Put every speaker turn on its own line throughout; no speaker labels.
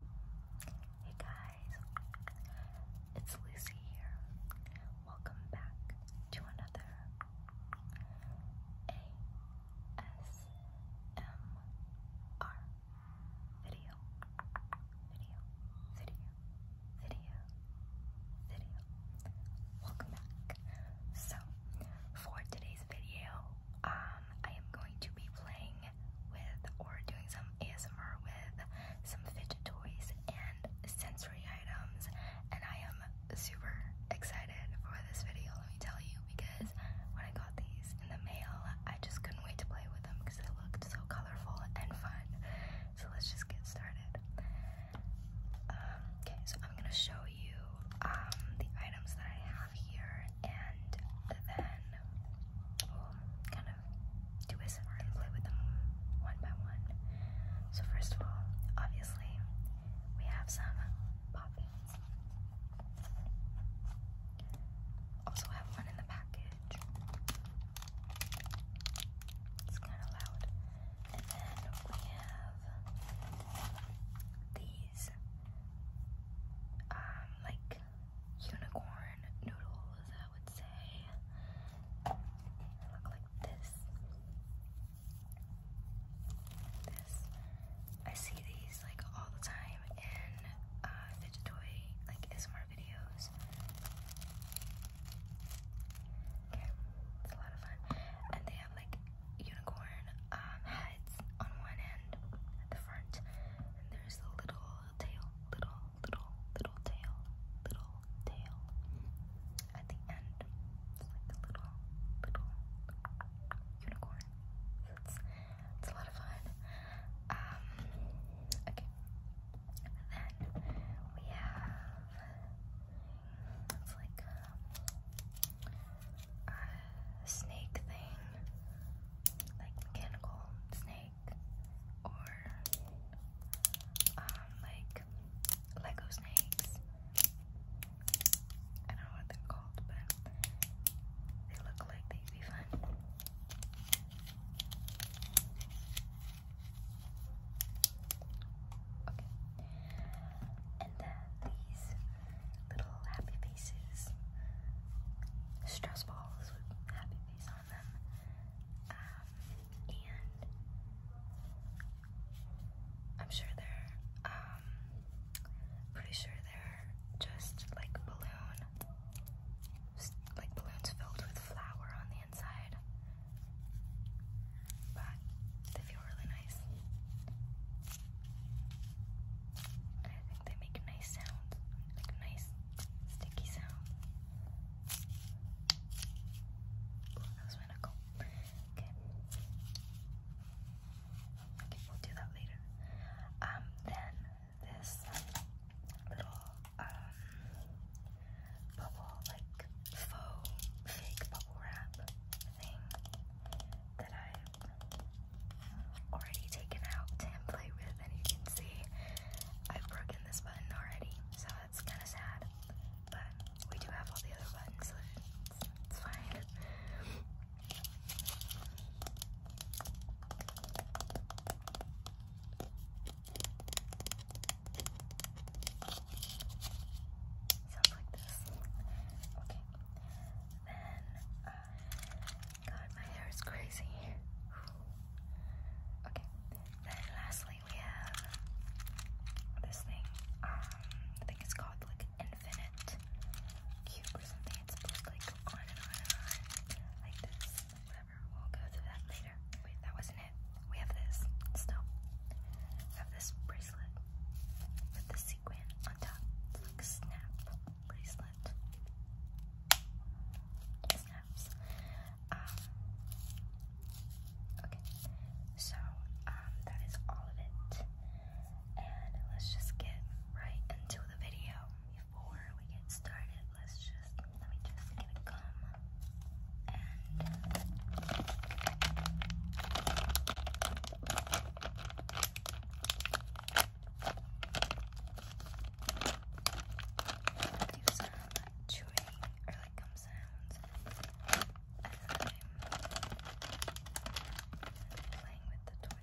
Hey guys, it's Lucy here. Welcome back to another ASMR video. Video, video, video, video. Welcome back. So, for today's video, I um, I am going to be playing with or doing some ASMR with some fidget toys and sensory items, and I am super excited for this video, let me tell you, because when I got these in the mail, I just couldn't wait to play with them because they looked so colorful and fun. So let's just get started. Um, okay, so I'm gonna show you um, the items that I have here, and then kind of do ASMR and play with them one by one. So first of all, obviously, we have some poppy. Also have one in the package. It's kind of loud. And then we have these, um, like unicorn noodles, I would say. look like this. This. I see these like all the time in uh, fidget toy, like ASMR videos. Okay, it's a lot of fun. And they have like unicorn um, heads on one end at the front, and there's the little tail, little, little, little tail, little tail at the end. It's like a little, little unicorn. It's, it's a lot of fun. Um, okay. And then we have, it's like a, a snake thing like mechanical snake or um, like Lego snakes. I don't know what they're called, but they look like they'd be fun. Okay. And then these little happy faces. Stressful um, I'm sure they're, um, pretty sure they're just like balloon, like balloons filled with flour on the inside. But they feel really nice. And I think they make nice sounds nice sticky sound. Ooh, that was my Okay. Okay, we'll do that later. Um, then this little um bubble like faux fake bubble wrap thing that I already taken out to with and you can see I've broken this button already so that's kind of sad but we do have all the other buttons so it's, it's fine Sounds like this. Okay. Then uh, God, my hair is crazy. Okay, then lastly we have this thing. Um, I think it's called like Infinite Cube or something. It's like on and on and on like this. Whatever, we'll go through that later. Wait, that wasn't it. We have this still. We have this bracelet with the sequin on top. like snap bracelet um, okay, so um, that is all of it, and let's just get right into the video. Before we get started, let's just let me just get and do some chewing or like gum sounds as I'm playing with the toys.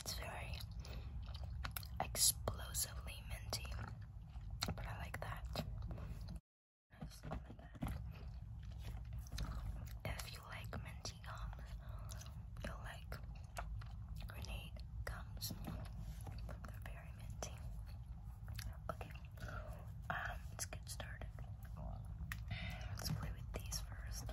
It's very explosively minty, but I like that. If you like minty gums, you'll like grenade gums. They're very minty. Okay, um, let's get started. Let's play with these first.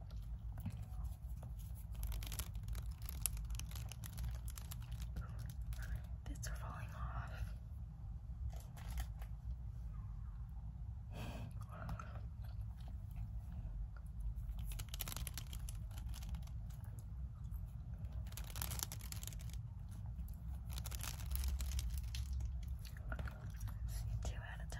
Bits are falling off. Let's see, two at a time.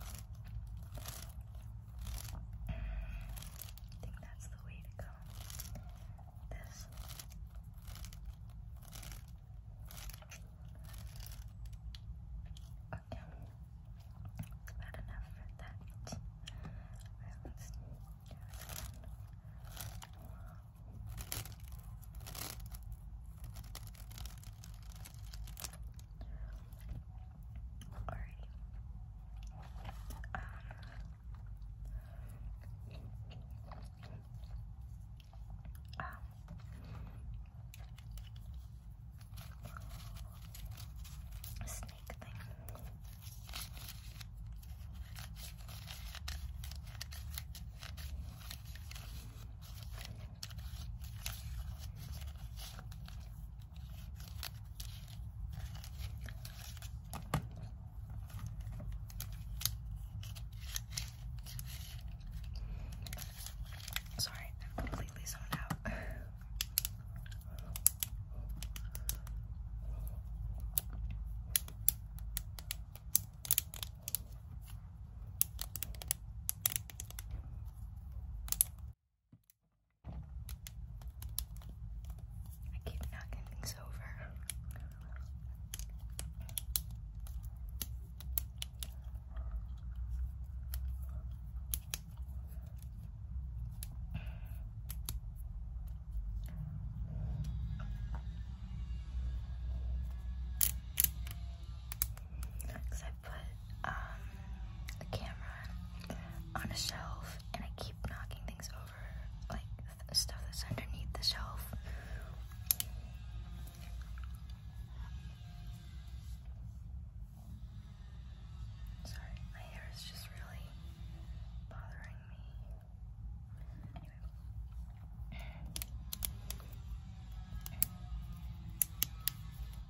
I think that's the way to go. This. Okay. Bad enough for that. Alrighty. Um, um, snake thing. Okay. Sorry, I'm completely zoned out. I keep knocking things over. Because I put um, camera on a shelf and I keep knocking things over, like th stuff that's underneath the shelf. Sorry, my hair is just really bothering me.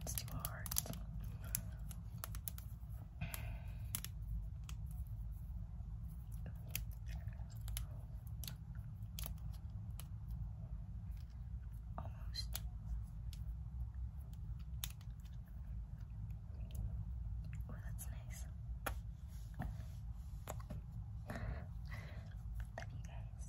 It's too hard. Almost. Oh, that's nice. Love you guys.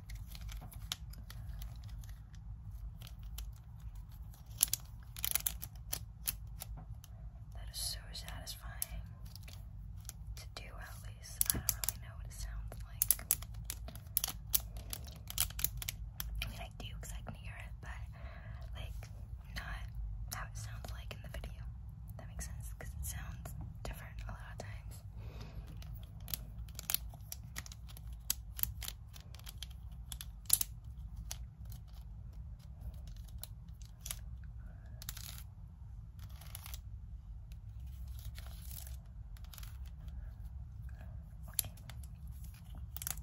That is so satisfying to do, at least. I don't really know what it sounds like. I mean, I do because I can hear it, but like, not how it sounds like in the video. That makes sense because it sounds different a lot of times. Okay.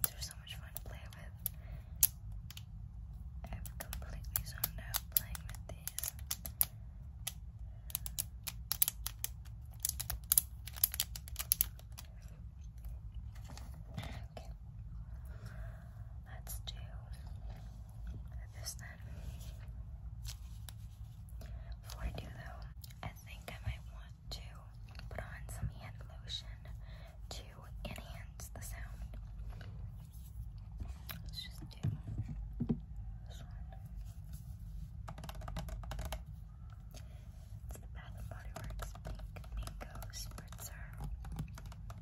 These are so much fun to play with. I've completely zoned out playing with these. Let's do this then. Before I do though, I think I might want to put on some hand lotion to enhance the sound. Let's just do this one. It's the Bath and Body Works Pink Mango Spritzer Lotion.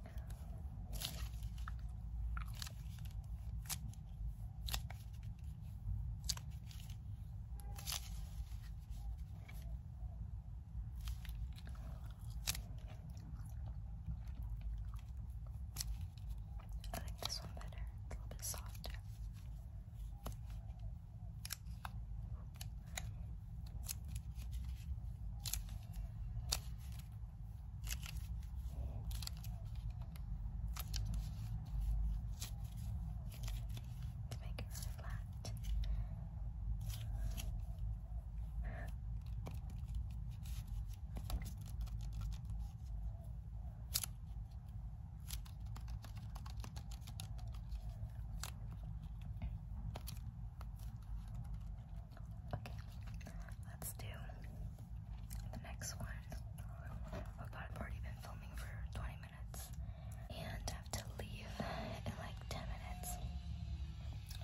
I like this one better. a little bit softer. Make it really flat. Okay, let's do the next one. I've already been filming for 20 minutes and have to leave in like 10 minutes.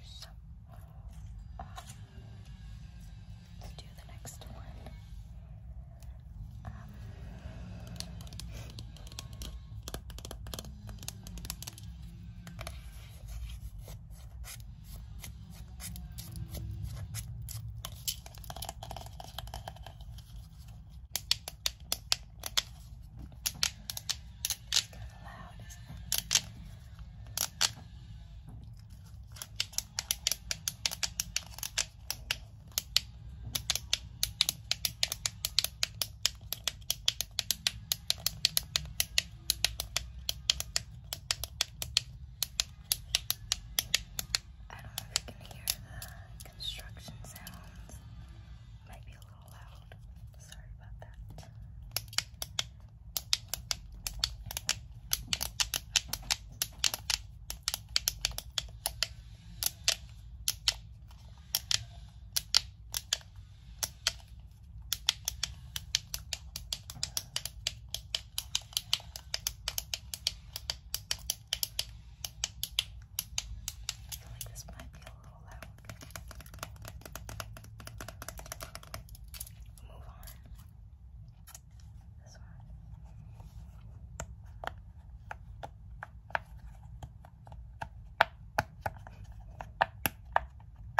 So, um, let's do the next one. Um, it's kind of loud, isn't it? I don't know if you can hear the construction sounds. Might be a little loud. Sorry about that. I feel like this might be a little loud. Move on. This one.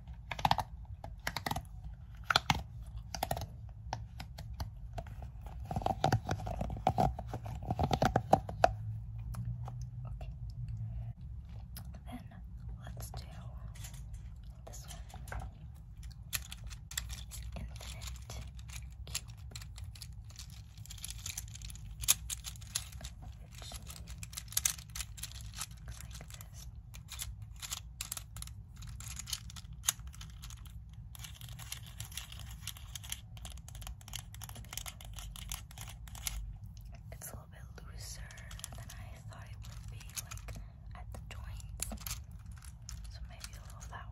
Okay. Then let's do this one. Infinite cube. looks like this. It's a little bit looser than I thought it would be, like at the joints. So maybe a little loud.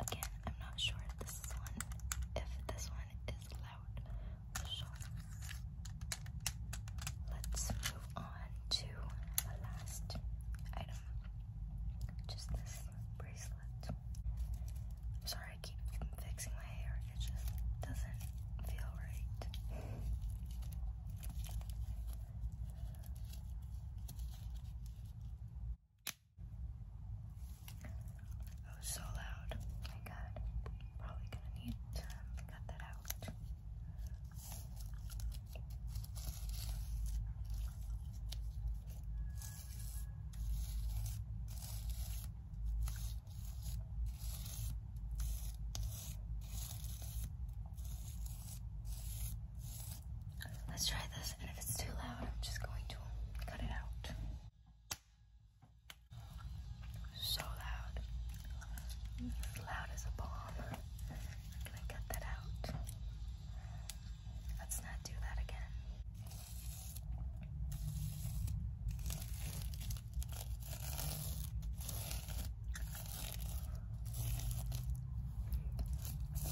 Again, I'm not sure if this is one if this one is loud or short. Let's move on to the last item. Just this bracelet. sorry I keep fixing my hair, it just doesn't feel right. That was so loud. Oh my god. Probably gonna need to cut that out. Let's try this, and if it's too loud, I'm just going to cut it out. So loud. As loud as a bomb. gonna cut that out. Let's not do that again. It's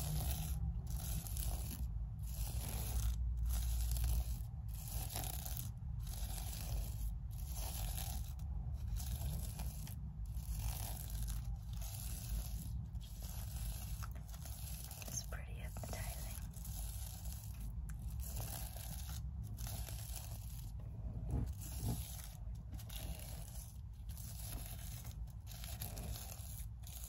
pretty hypnotizing.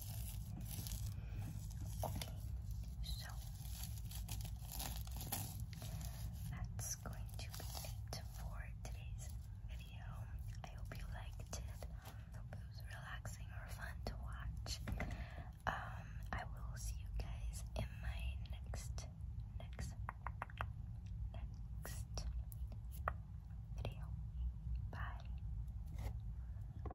Okay, so that's going to be it for today's video. I hope you liked it. I hope it was relaxing or fun to watch. Um, I will see you guys in my next, next, next video. Bye.